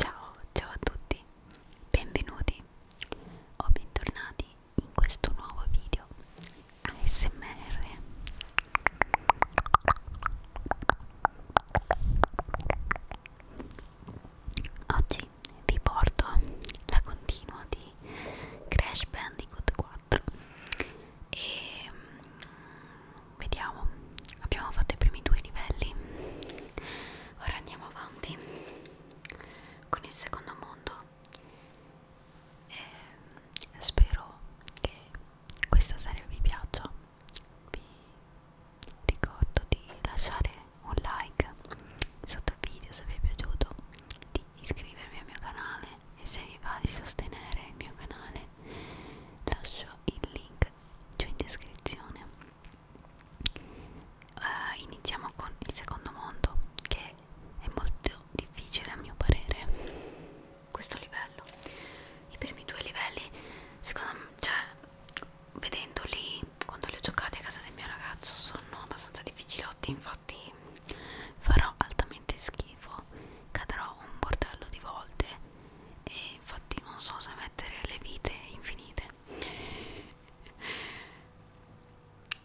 Ciao, ciao a tutti, benvenuti o bentornati in questo nuovo video ASMR. Oggi vi porto la continua di Crash Bandicoot 4 e mm, vediamo abbiamo fatto i primi due livelli ora andiamo avanti con il secondo mondo e spero che questa serie vi piaccia vi ricordo di lasciare un like sotto il video se vi è piaciuto di iscrivervi al mio canale e se vi va di sostenere il mio canale lascio il link giù in descrizione uh, iniziamo con il secondo mondo che è molto difficile a mio parere questo livello i primi due livelli secondo me cioè vedendoli quando li ho giocati a casa del mio ragazzo sono abbastanza difficilotti infatti farò altamente schifo cadrò un bordello di volte e infatti non so se mettere le vite infinite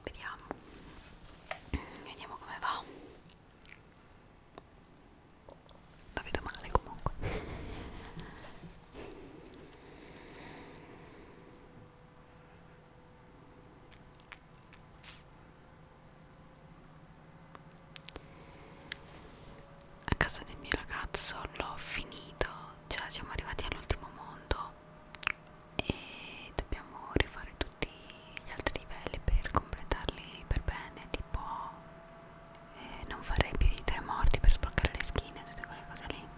vediamo vediamo come va la vedo male comunque a casa del mio ragazzo l'ho finito cioè siamo arrivati all'ultimo mondo e dobbiamo rifare tutti gli altri livelli per completarli per bene tipo eh, non farei più i tre morti per sbloccare le skin e tutte quelle cose lì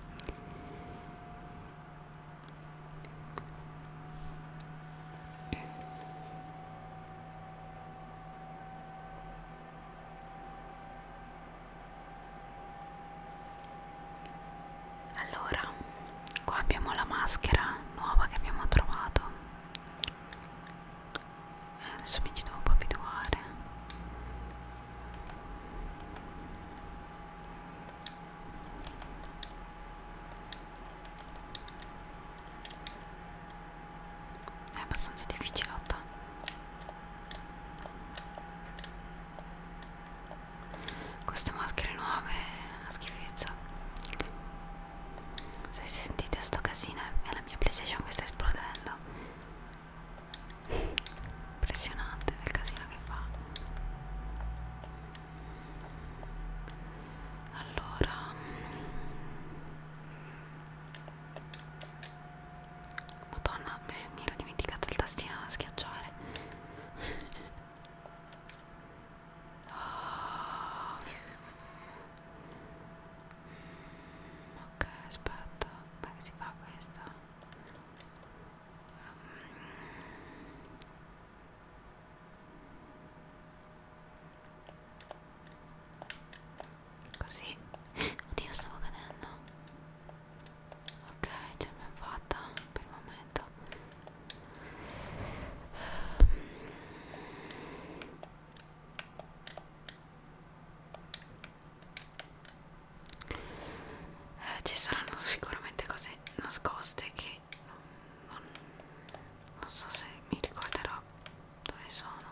allora, qua abbiamo la maschera nuova che abbiamo trovato. Eh, adesso mi ci devo un po' abituare è abbastanza difficilotta queste maschere nuove è una schifezza se sentite sto casino è la mia playstation che sta esplodendo impressionante del casino che fa allora Madonna, mi ero dimenticata il tastino da schiacciare. Oh. Ok, aspetta, come si fa questa? Um. Così Oddio stavo cadendo Ok ce l'abbiamo fatta per il momento eh, Ci saranno sicuramente cose nascoste che non, non, non so se mi ricorderò dove sono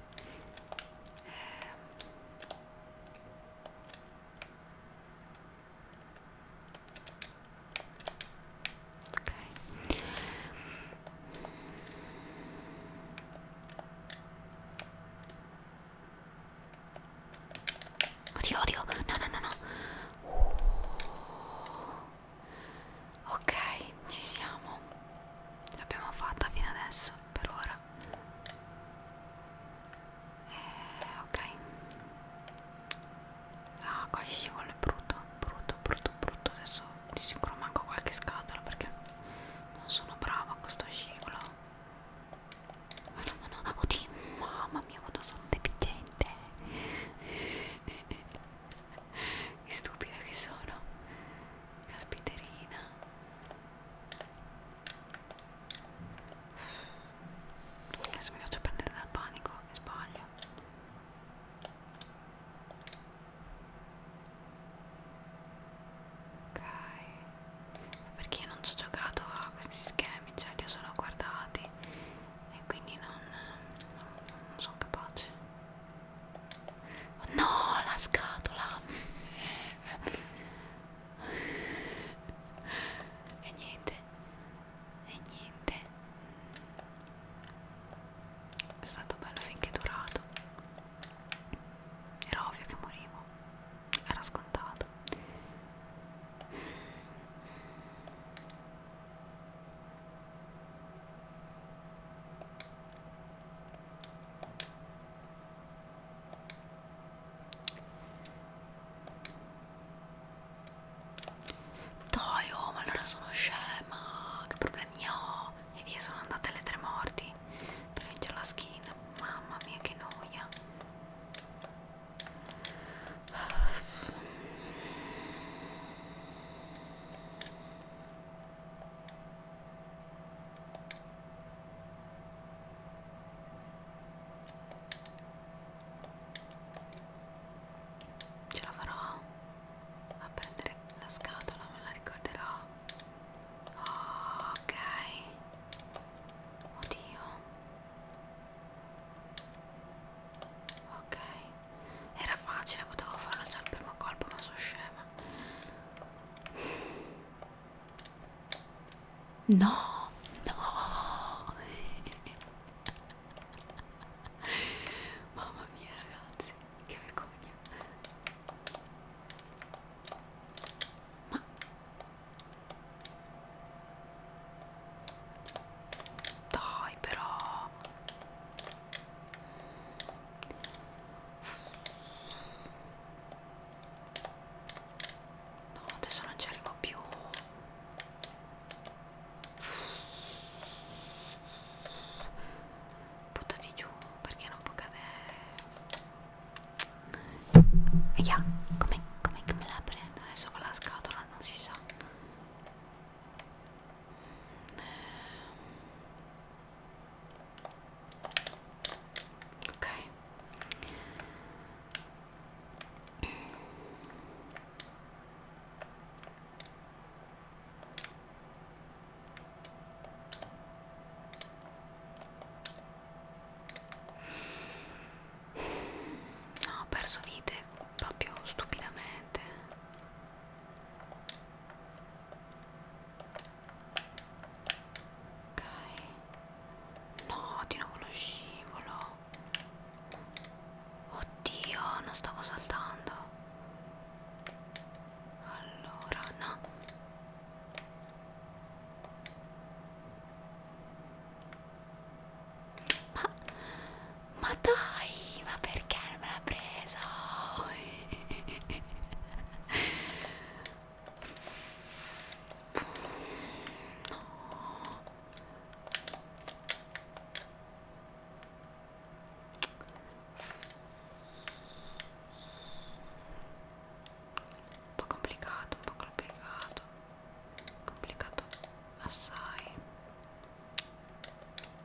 Um, okay. Odio, odio. No, no, no, no. Ok, ci siamo. L'abbiamo fatta fino adesso, per ora. Eh, ok. Ah, qua ci vuole brutto, brutto, brutto, brutto. Adesso di sicuro manco qualche scatola perché non sono brava a questo scivolo. Oh no, no, oddio, mamma mia quanto sono deficiente. che stupida che sono caspiterina adesso mi faccio prendere dal panico e sbaglio ok perché io non ci ho giocato a questi schemi cioè li ho solo guardati e quindi non, non, non sono capace No, la scatola. E niente. E niente. È stato bello finché è durato. Era ovvio che morivo. Era scontato. Dai, oh, ma allora sono scema. Che problemi ho? E via, sono andate le tre morti per vincere la skin. Mamma mia, che noia. Ce la farò a prendere la scatola, me la ricorderò. Oh, ok. Oddio. Ok. Era facile, potevo farlo già al primo colpo, ma sono scema. No, no. Mamma mia ragazzi, che vergogna. Ma dai però No, adesso non ci arrivo più. Buttati giù perché non può cadere. Via, come, come, come la prendo adesso con la scatola? Non si sa ok no ho perso vite proprio stupidamente ok no di nuovo lo scivolo oddio non stavo saltando allora no ma ma dai ma perché non me l'ha presa Um pouco complicado, um pouco complicado. Complicado. Açaí.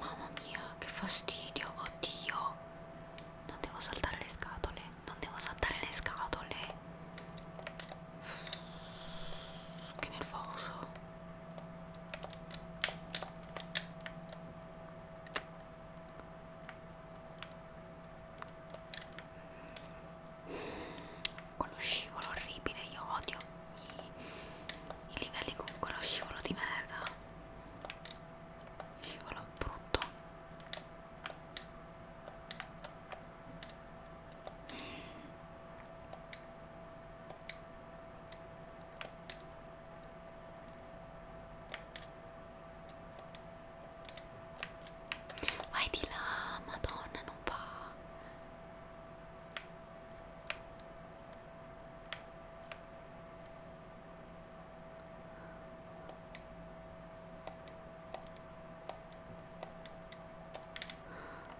Mamma mia, che fastidio, oddio. Non devo saltare le scatole, non devo saltare le scatole. Che nervoso. Quello scivolo orribile, io odio i, i livelli con quello scivolo di merda scivolo brutto vai di là madonna non va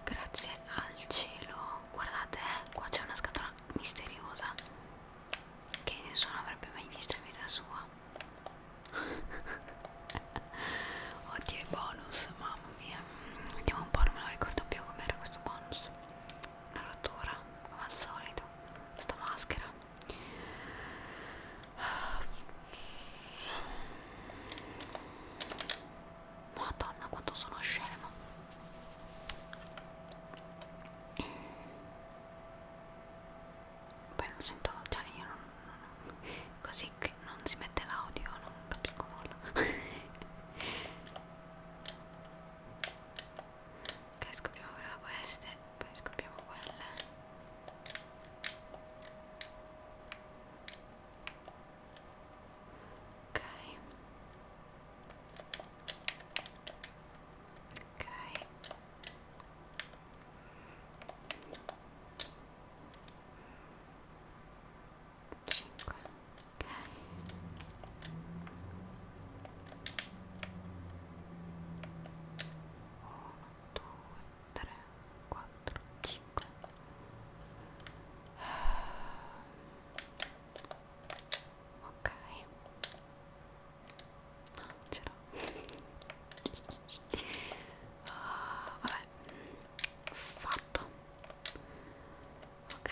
Grazie al cielo, guardate, eh, qua c'è una scatola misteriosa che nessuno avrebbe mai visto in vita sua. Oddio, i bonus, mamma mia. Vediamo un po', non me lo ricordo più com'era questo bonus una rottura come al solito questa maschera madonna quanto sono scema poi non sento cioè io non, non, così che non si mette l'audio non capisco nulla ok scopriamo prima queste poi scopriamo quelle ok ok cinque ok uno, due, tre, quattro, cinque ok no, non c'era oh, vabbè fatto ok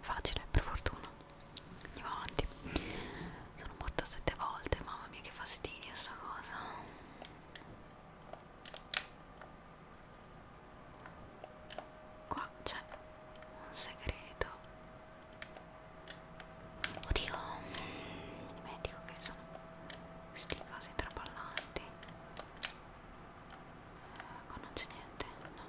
facile per fortuna andiamo avanti sono morta sette volte mamma mia che fastidio sta cosa qua c'è un segreto oddio mi dimentico che sono questi casi trapallanti eh, qua non c'è niente no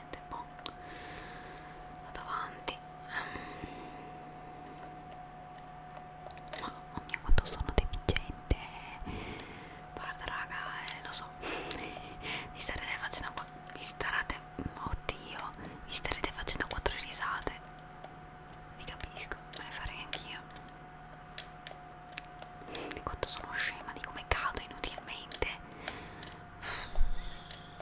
niente boh. vado avanti ehm, ma oh mio quanto sono deficiente guarda raga eh, lo so mi starete facendo vi starate oddio mi starete facendo quattro risate vi capisco me le farei anch'io di quanto sono scema di come cado inutilmente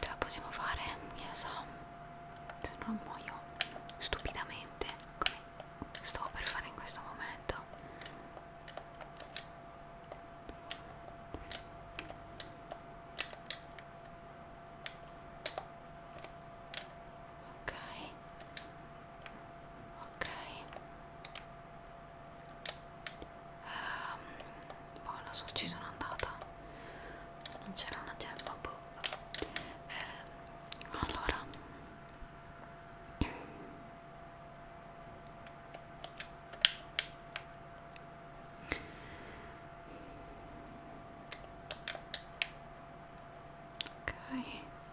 ce la possiamo fare che ne so se non muoio stupidamente come stavo per fare in questo momento ok ok um, boh, lo so, ci sono andata non c'era una gemma boh. eh, allora ok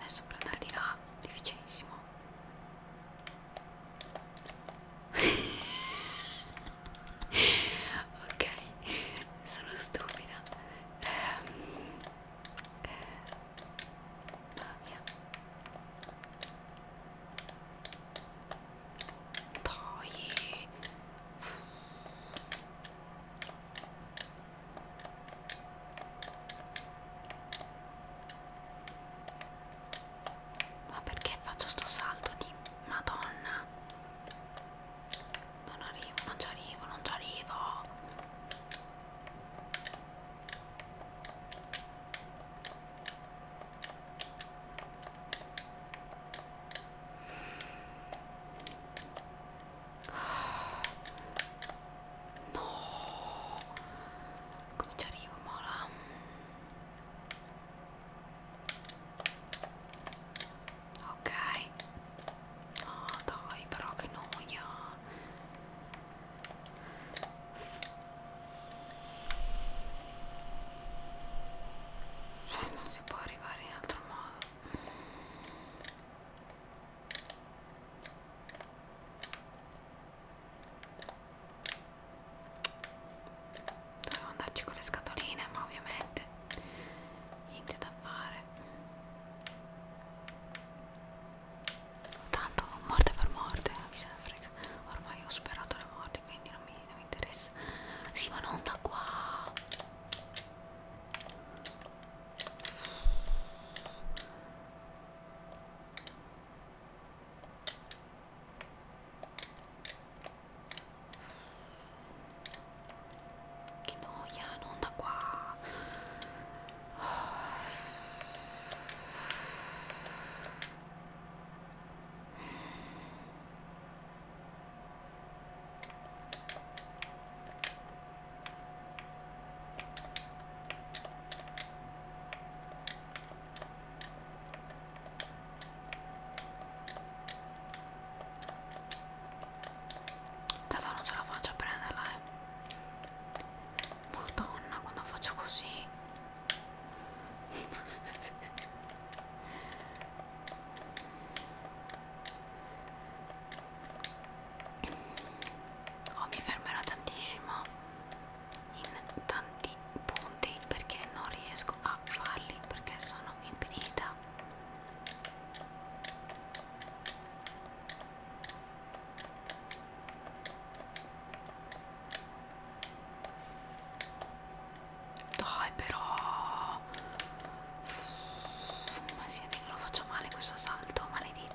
Adesso per andare di là, difficilissimo. ok, sono stupida. Ehm, eh, mamma mia. Dai. Ma perché faccio sto salto di madonna? Non arrivo, non ci arrivo, non ci arrivo. No, come ci arrivo, Mola? Ok, no, dai, però che noia. Cioè, non si può arrivare in altro modo. Dovevo andarci con le scatoline, ma ovviamente niente da fare. Tanto morte per morte, mi eh, se ne frega. Ormai ho superato le morti, quindi non mi, non mi interessa. Sì, ma non da qua. 昨日いや飲んだわうん Tanto non ce la faccio a prenderla, eh. Madonna, quando faccio così oh, mi fermerò tantissimo in tanti punti perché non riesco a farli perché sono impedita dai però ma siete che lo faccio male questo salto maledetto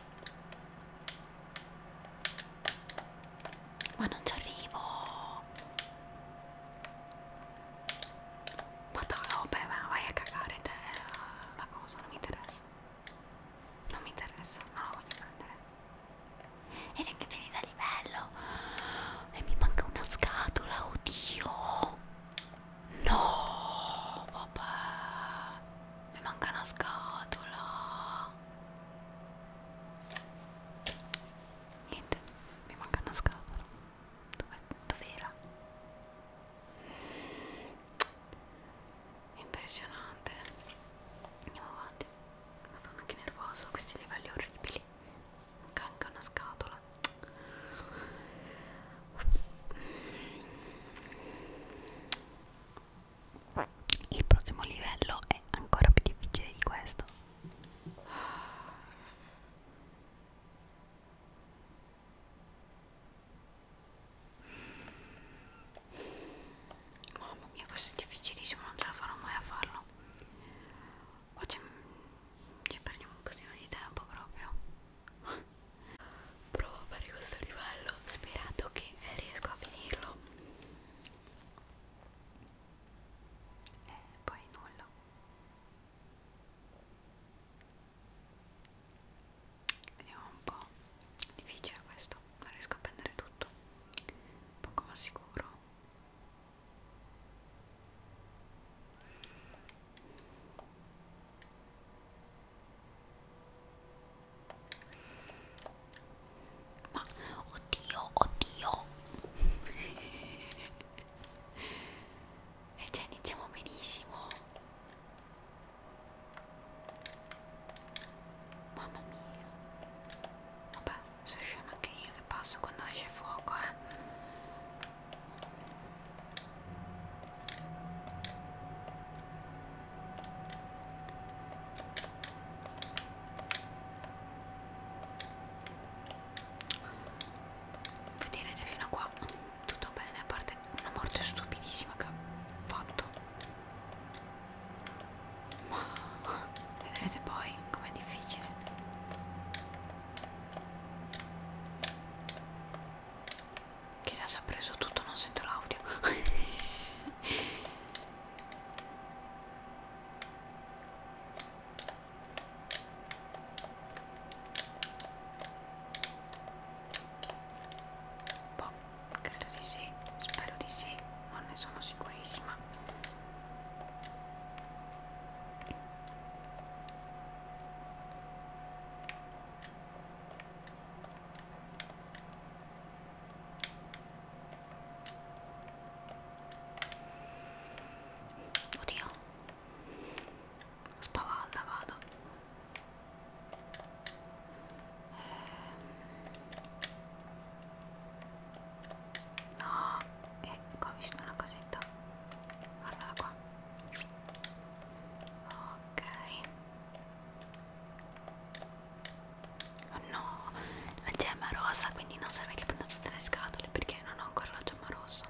Ma non ci arrivo. Ma dai, oh, vabbè, ma vai a cagare te eh, la cosa, non mi interessa. Non mi interessa, non la voglio prendere. E neanche finita a livello. E mi manca una scatola, oddio. No, vabbè. Mi manca una scatola. Niente, mi manca una scatola. Dov'è? Dov'era? Impressionante. Andiamo avanti. Madonna che nervoso, questi livelli orribili. Manca anche una scatola il prossimo livello è ancora più difficile di questo mamma mia questo è difficilissimo non ce la farò mai a farlo oggi ci perdiamo un casino di tempo proprio provo a fare questo livello sperando che riesco a finirlo e eh, poi nulla vediamo un po' difficile questo non riesco a prendere tutto poco ma sicuro ma oddio, oddio. e eh, già cioè, iniziamo benissimo. Mamma mia. Vabbè, sono scema anche io che passo quando esce fuoco, eh vi direte fino a qua tutto bene a parte una morte stupidissima che ho fatto ma vedrete poi com'è difficile chissà se ho preso tutto non sento l'audio boh, credo di sì, spero di sì, non ne sono sicurissima. Oddio, spavalda vado. Ehm. No, e eh, qua ho visto una cosetta. Guardala qua. Ok. Oh no, la gemma è rossa, quindi non serve che prenda tutte le scatole perché non ho ancora la gemma rossa.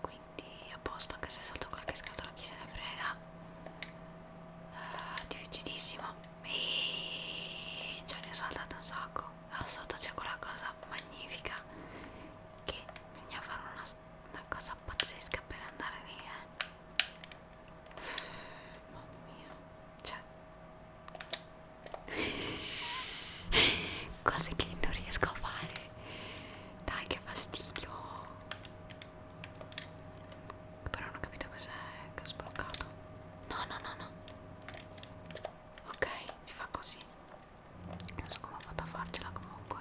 Quindi a posto, anche se salto qualche scatola, chi se ne frega. Uh, difficilissimo. E... Cioè ne ho saltato un sacco. Là sotto c'è quella cosa magnifica che bisogna fare una, una cosa pazzesca per andare lì, eh. Mamma mia, cioè, cose che non riesco a fare. Dai, che fastidio. Però non ho capito cos'è che ho sbloccato. No, no, no, no. Ok, si fa così. Non so come ho fatto a farcela comunque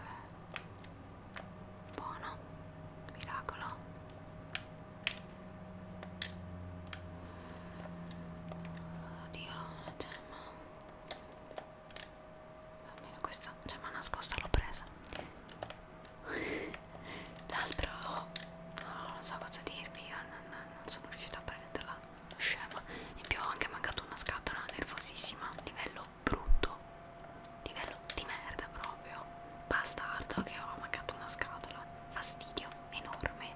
buono miracolo oddio una gemma almeno questa gemma nascosta l'ho presa l'altra oh, no, non so cosa dirvi io non, non sono riuscita a prenderla scema in più ho anche mancato una scatola nervosissima livello brutto livello di merda proprio bastardo che ho mancato una scatola fastidio enorme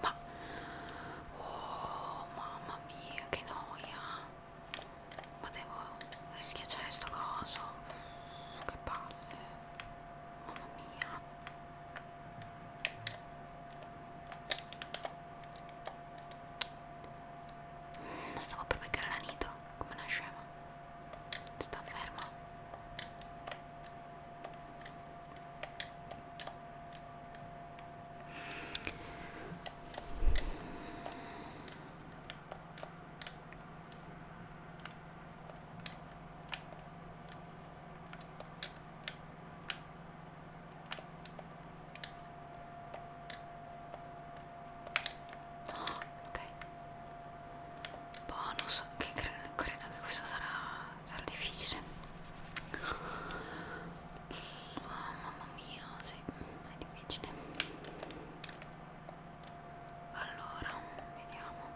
ma oh mamma mia che noia ma devo schiacciare sto coso che palle mamma mia ma stavo per beccare la nitro, come una scema. Sta fermo. Oh, ok. Bonus, che cre credo che questo sarà, sarà difficile. Oh, mamma mia, sì, è difficile. Allora, vediamo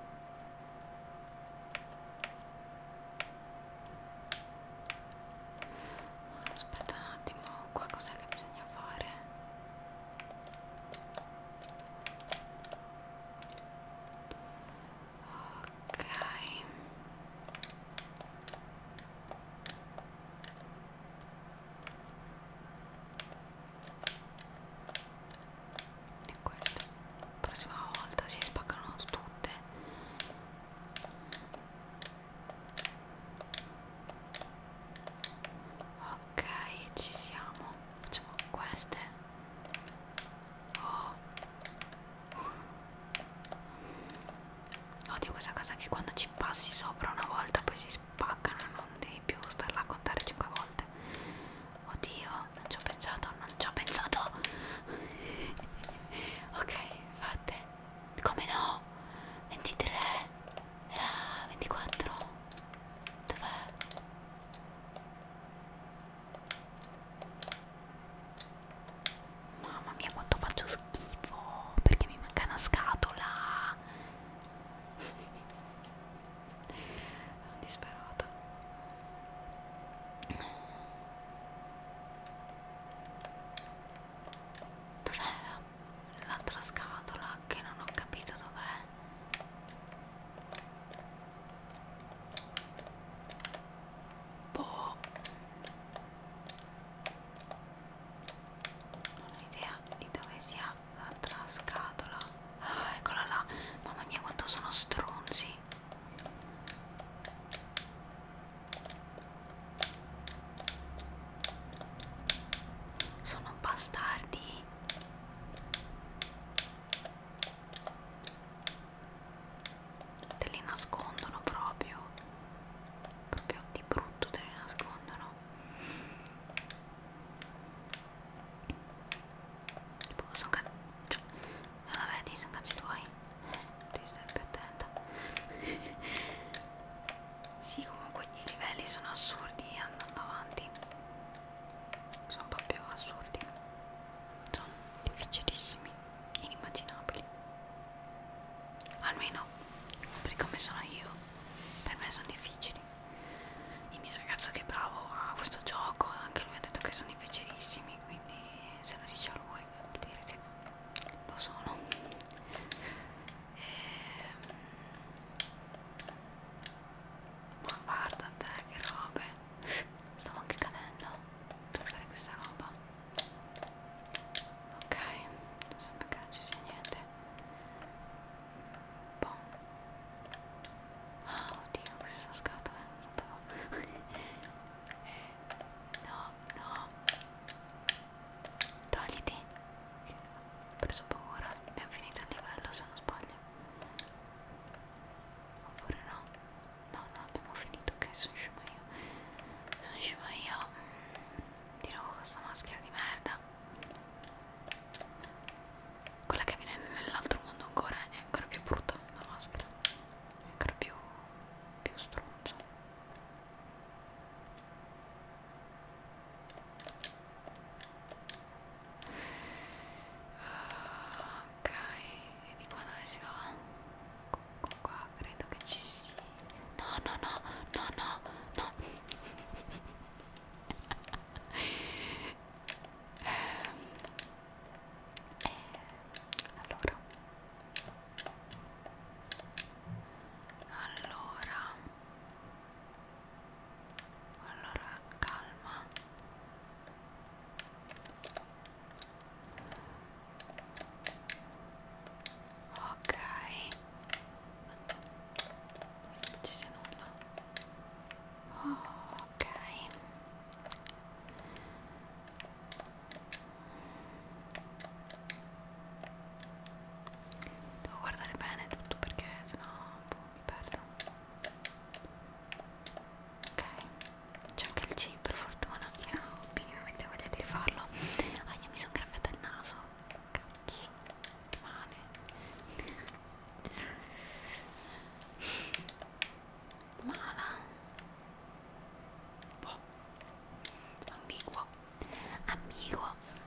aspetta un attimo qua cos'è che bisogna fare ok e questo la prossima volta si spaccano tutte ok ci siamo facciamo queste oh. odio questa cosa che quando ci passi sopra una volta poi si spaccano non devi più starla a contare 5 volte oddio non ci ho pensato non ci ho pensato ok fatte come no? 23 ah, 24 Dov'è? Mamma mia quanto faccio schifo Perché mi manca una scatola Sono disperata Dov'è la l'altra scatola che non ho capito dov'è boh non ho idea di dove sia l'altra scatola ah, eccola là mamma mia quanto sono stronzi sono bastardi. Te li nascondono proprio. Proprio di brutto te li nascondono. Tipo, sono cazzi. Cioè, non la vedi, sono cazzi tuoi. Devi stare più attenta. Sì, comunque i livelli sono assurdi andando avanti. Sono proprio assurdi. Sono difficilissimi, inimmaginabili. Almeno per come sono io, per me sono difficili. Il mio ragazzo che è bravo a questo gioco, anche lui ha detto che sono difficilissimi, quindi se lo dice a lui vuol dire che lo sono. Ehm, ma ehm... guarda te che robe stavo anche cadendo per fare questa roba ok non sembra che non ci sia niente boh ah oddio queste sono scatole non sapevo eh, no no Togliti. Ho preso paura. Abbiamo finito il livello se non sbaglio. Oppure no? No, no, abbiamo finito. Ok, sono scema io. Sono scema io. Mm, di nuovo questa maschera di merda. Quella che viene nell'altro mondo ancora è ancora più brutta la maschera. È ancora più, più struzza. Ah, ok, e di qua dove si va? Qua, qua credo che ci sia. No, no, no, no, no, no. eh, allora allora allora calma ok non ci sia nulla oh, ok Devo guardare bene tutto perché sennò boh, mi perdo. Ok, c'è anche il C per fortuna. Che ho ovviamente voglia di rifarlo. Ah, io mi sono graffiata il naso. Cazzo, che male. Mala. Boh. Ambiguo amigo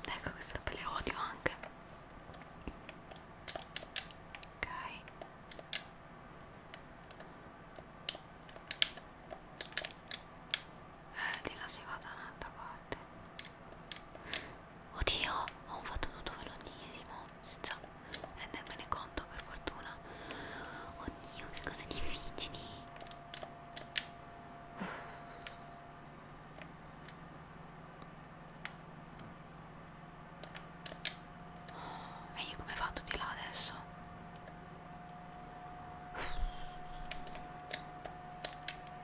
ecco queste robe le odio anche ok eh, di là si va da un'altra parte oddio ho fatto tutto velocissimo senza rendermene conto per fortuna oddio che cose difficili e io come vado di là adesso?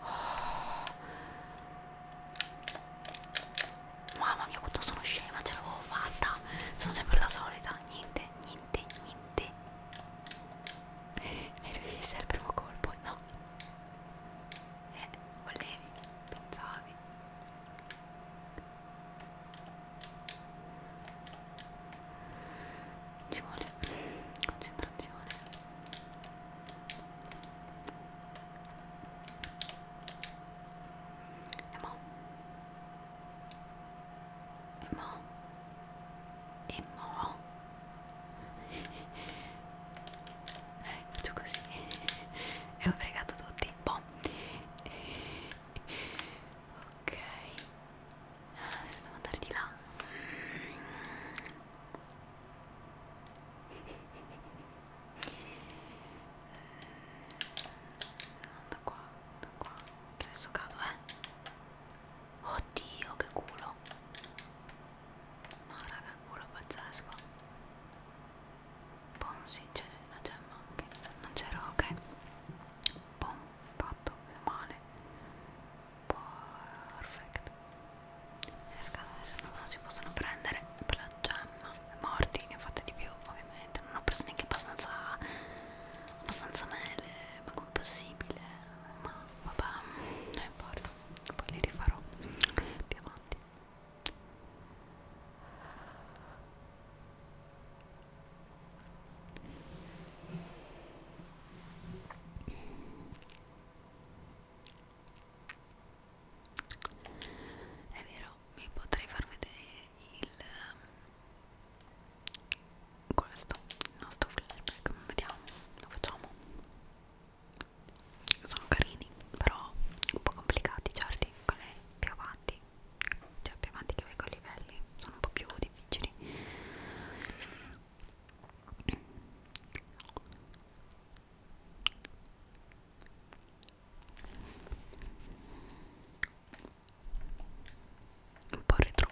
Oh. Mamma mia quanto sono scema, ce l'avevo fatta. Sono sempre la solita. Niente, niente, niente. Mi riuscì il primo colpo. No, eh, volevi, pensavi ci vuole concentrazione e mo e mo e mo eh, faccio così e ho fregato tutti boh ok adesso ah, devo andare di là da qua da qua adesso cado eh Oddio, che culo. No, raga, culo pazzesco. Bom, sì, c'è la gemma anche. Non c'era, ok. Bom, fatto male. Perfetto. Nel caso nessuno non si possono prendere per la gemma. Morti, ne ho fatte di più, ovviamente. Non ho preso neanche abbastanza abbastanza mele ma come possibile ma vabbè non importa poi li rifarò più avanti è vero, mi potrei far vedere il ehm, questo, il nostro flashback, vediamo, lo facciamo sono carini però un po' complicati certi con le più avanti cioè più avanti che vai con i livelli sono un po' più difficili un po' retro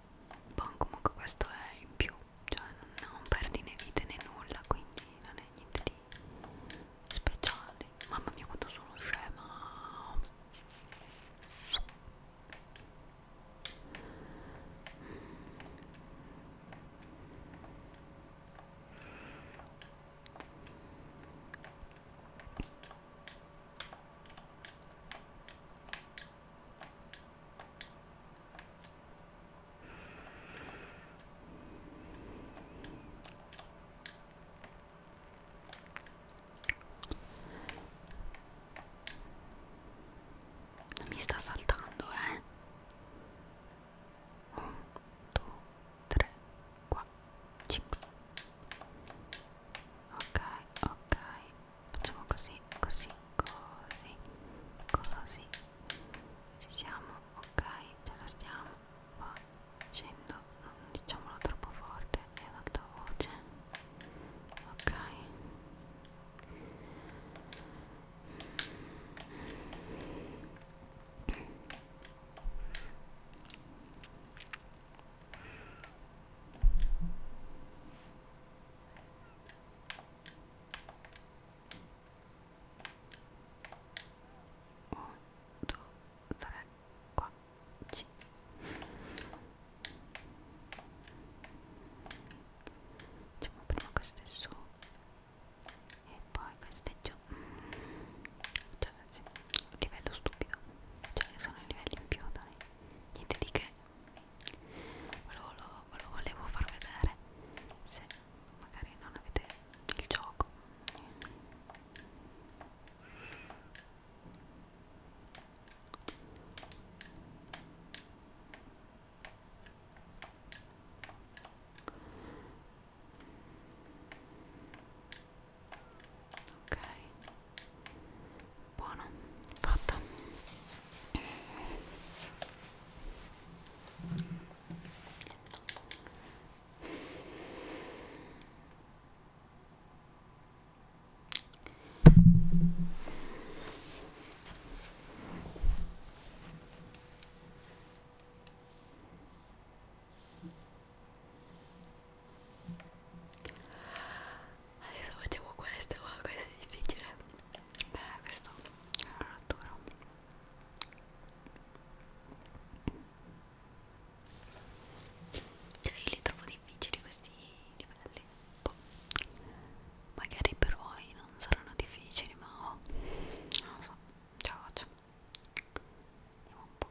Bon, comunque questo è in più, cioè non, non perdi né vite né nulla, quindi non è niente di speciale. Mamma mia quanto sono scema! Mm. Non mi sta saltando, eh? 1, 2, 3, 4, 5. Ok, ok, facciamo così così così così ci siamo ok ce la stiamo facendo non diciamolo troppo forte è ad alta voce ok ok 1 2 3 4 5 facciamo prima queste su e poi queste giù cioè sì, un livello stupido cioè sono i livelli in più dai niente di che ve lo, lo, ve lo volevo far vedere se magari non avete il gioco ok buono fatto adesso facciamo questo ma questo è difficile beh questo è una rottura cioè io li trovo difficili questi livelli boh. magari per voi non saranno difficili ma oh, non lo so ciao faccio vediamo un po'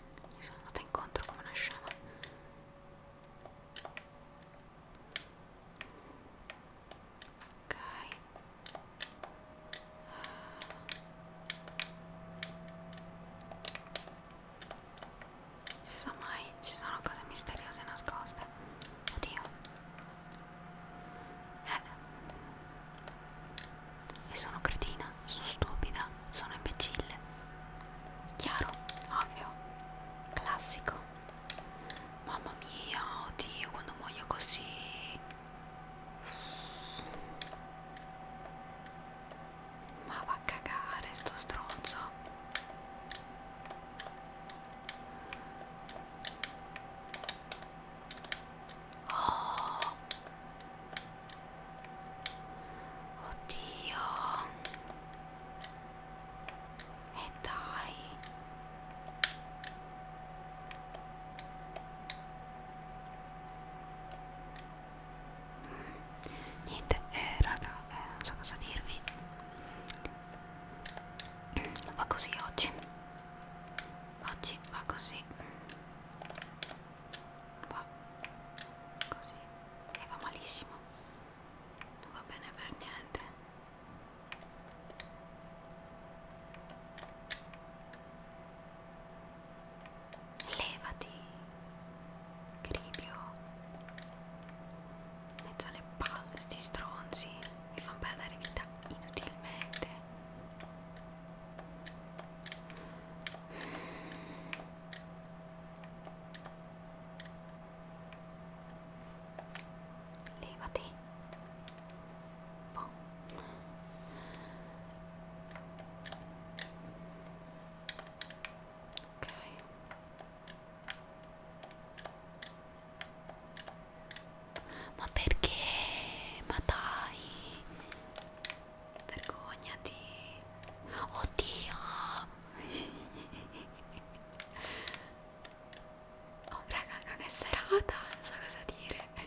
Gli sono andata incontro come una scema. Ok. Si sa mai, ci sono cose misteriose nascoste. Oddio. Eh e sono cretina, sono stupida, sono imbecille. Chiaro, ovvio, classico. Mamma mia, oddio, quando muoio così. Ma va a cagare sto stronzo. Oh. Oddio. E dai. Mm. Niente, eh, raga, eh, non so cosa dirvi. Va così oggi. Oggi va così qua così e va malissimo non va bene per niente levati gribio mezzo alle palle sti stronzi mi fanno perdere vita inutilmente Levati. Oh. Ok. Ma perché? Ma dai vergognati oddio oh raga non è serata non so cosa dire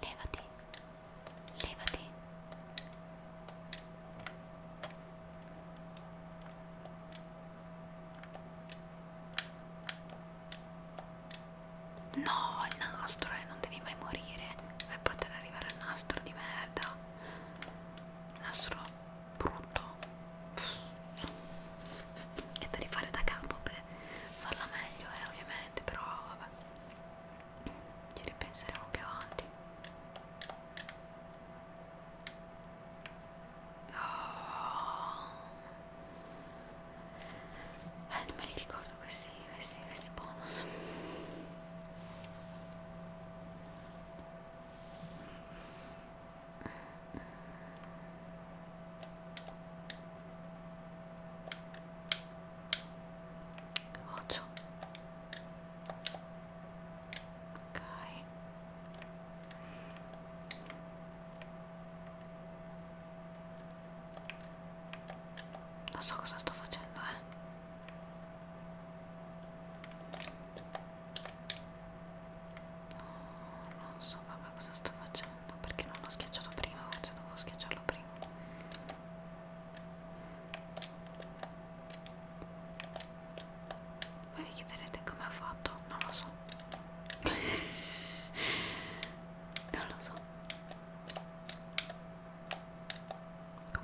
levati levati No, il nastro, eh, non devi mai morire per poter arrivare al nastro di merda. Nastro brutto. E da rifare da capo per farla meglio, eh, ovviamente, però vabbè. Ci ripenseremo più avanti. Oh. Eh, non me li ricordo questi, questi, questi bonus. Occhio. Ok. Non so cosa sto facendo, eh. No, non so proprio cosa sto facendo, perché non l'ho schiacciato prima, forse dovevo schiacciarlo prima. Voi vi chiederete come ha fatto? Non lo so. non lo so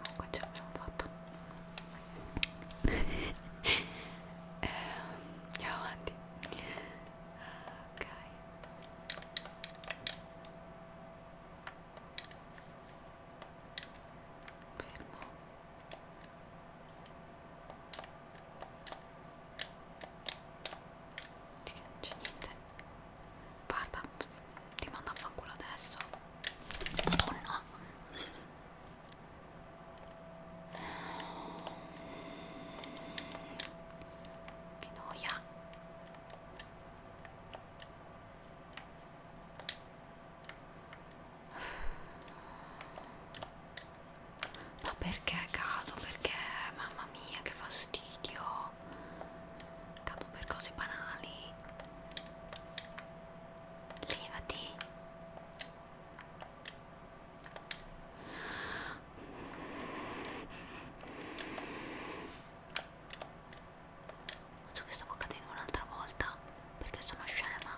comunque ce l'abbiamo fatta che non c'è niente guarda ti mando a fanculo adesso oh no che noia ma perché cado? Perché mamma mia che fastidio! Cado per cose banali. Levati. Non so che stavo cadendo un'altra volta perché sono scema.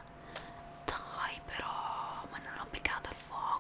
Dai però, ma non ho peccato il fuoco.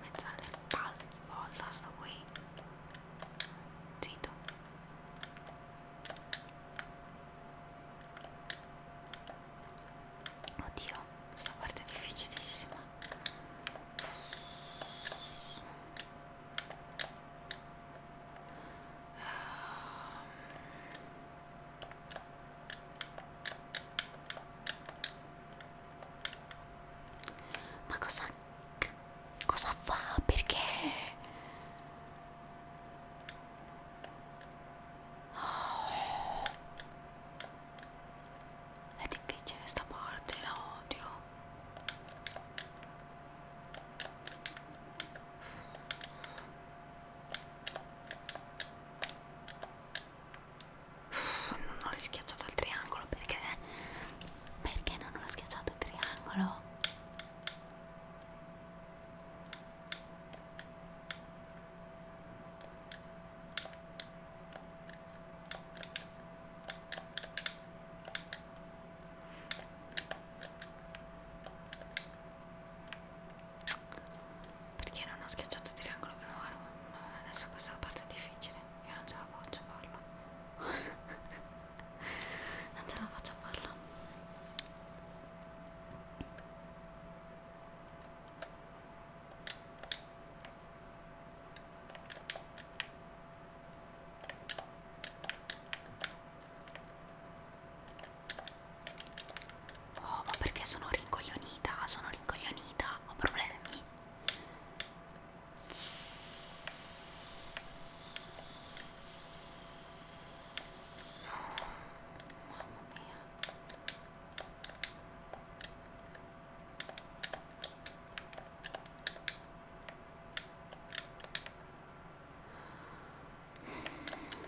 mezzo alle palle di volta sto qui zitto oddio questa parte è difficilissima ehm. Ma cosa cosa fa? Perché? Oh. È difficile sta parte, la odio non ho schiacciato il triangolo perché perché non ho schiacciato il triangolo perché non ho schiacciato il triangolo prima no, adesso questa parte è difficile io non ce la faccio farlo non ce la faccio farlo Oh, ma perché sono rincoglionita? Sono rincoglionita, ho problemi. No, mamma mia. Mm.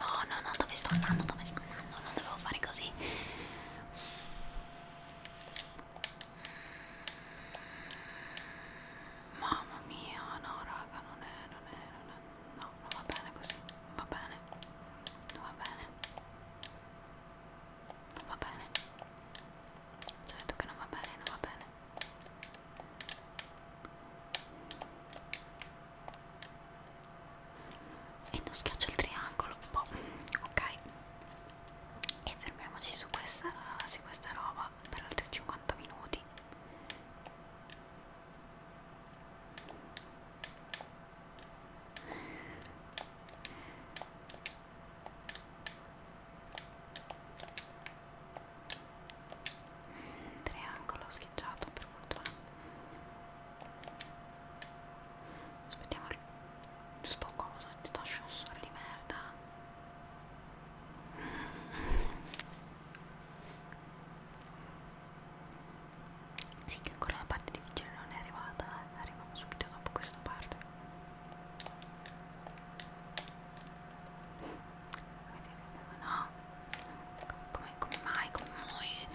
No, no, no, dove sto andando? Dove sto andando? Non dovevo fare così. Mamma mia, no, raga, non è, non è, non è. No, non va bene così. Non va bene. Non va bene. Non va bene. Ci ho detto che non va bene, non va bene e non schiaccio il triangolo boh, ok e fermiamoci su questa, su questa roba per altri 50 minuti triangolo scheggiato per fortuna aspettiamo il spocoso ti do ascensore di merda sì che ancora la parte difficile non è arrivata eh. arriviamo subito dopo questa parte vedete no come, come mai, come mai?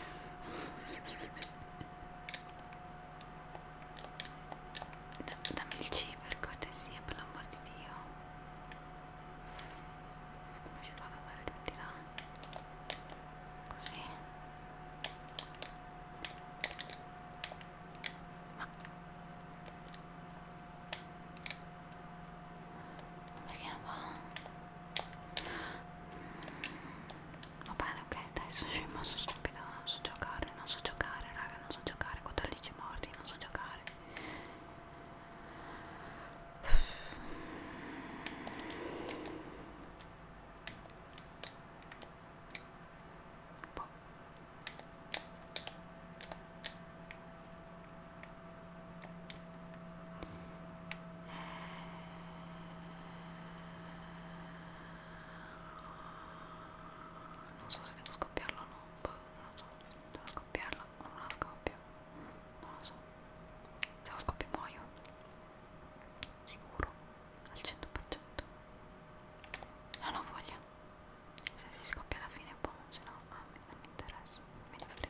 Da, dammi il C per cortesia, per l'amor di Dio. Come si fa ad andare più di là? Così. Ma perché non va? Va bene, ok, dai, sono scema, sono stupida, non so giocare, non so giocare, raga, non so giocare, 14 morti, non so giocare. Boh non so se devo scoppiarla o no boh, non lo so devo scoppiarla o non la scoppio non lo so se la scoppio muoio sicuro al 100% non ho voglia se si scoppia alla fine è boh, buono se no a ah, me non mi interessa me ne frega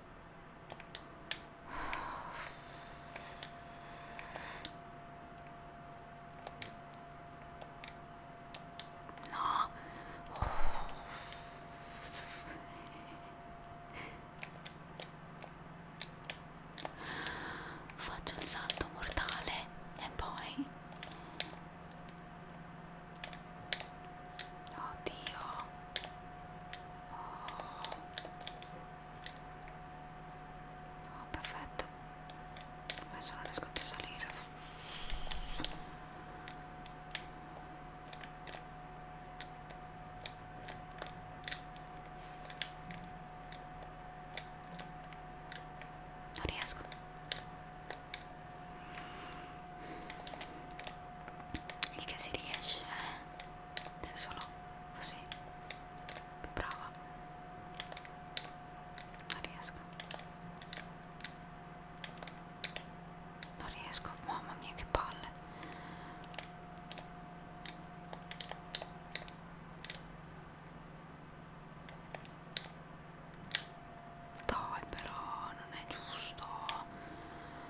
No. Oh. Faccio un salto mortale e poi... Oddio. Oh, perfetto. Adesso non riesco più a salire. Non riesco. Il che si riesce. Eh? se sono così brava non riesco non riesco mamma mia che palle dai però non è giusto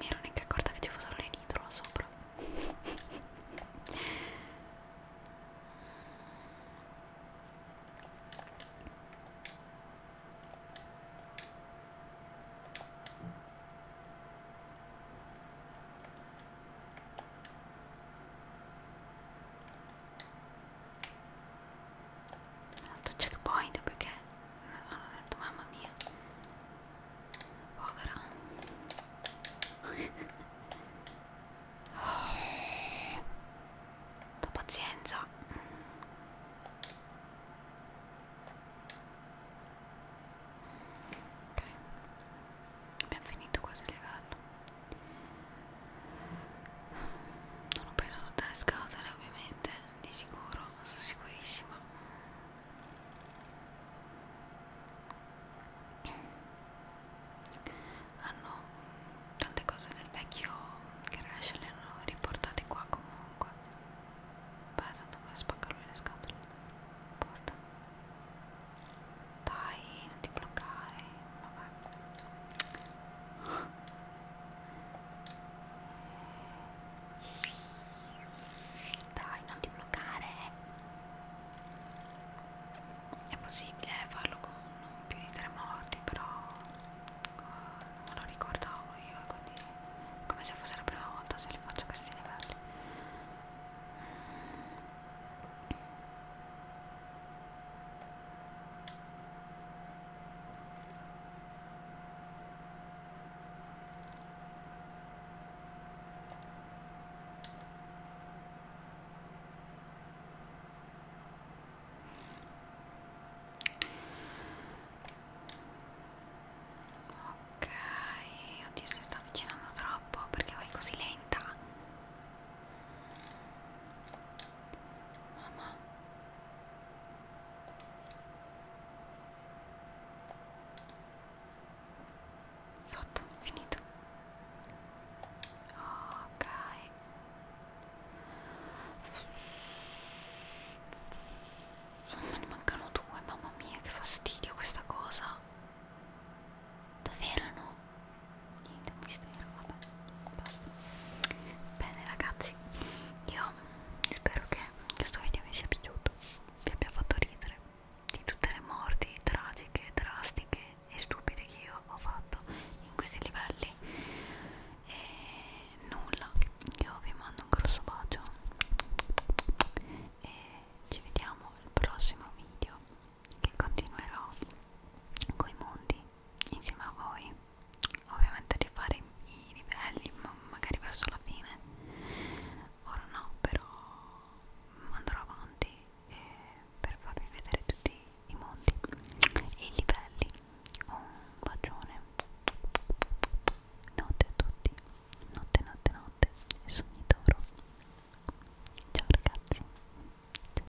mi ero neanche accorta che ci fossero le nitro là sopra fatto checkpoint perché hanno detto mamma mia povera oh, ho pazienza ok abbiamo finito quasi il livello non ho preso tutte le scatole ovviamente di sicuro sono sicurissima hanno tante cose del vecchio crash le hanno riportate qua comunque beh tanto me spacca lui le scatole porta dai, non ti bloccare. Vabbè. Dai, non ti bloccare. È possibile eh, farlo con non più di tre morti, però eh, non me lo ricordavo io, quindi è come se fosse la prima volta se li faccio questi livelli. Ok, oddio si sta avvicinando troppo perché vai così lenta. Mamma. Fatto, finito. Ok. Ne mancano due, mamma mia, che fastidio questa cosa. Dove erano? niente mistero vabbè basta bene ragazzi io spero che questo video vi sia piaciuto vi abbia fatto ridere di tutte le morti tragiche drastiche e stupide che io ho fatto in questi livelli e nulla io vi mando un grosso bacio e ci vediamo al prossimo video che continuerò coi mondi insieme a voi ovviamente rifare i livelli ma magari verso la fine ora no però andrò avanti eh, per farvi vedere tutti i mondi e i livelli un bacione notte a tutti notte notte notte e sogni d'oro ciao ragazzi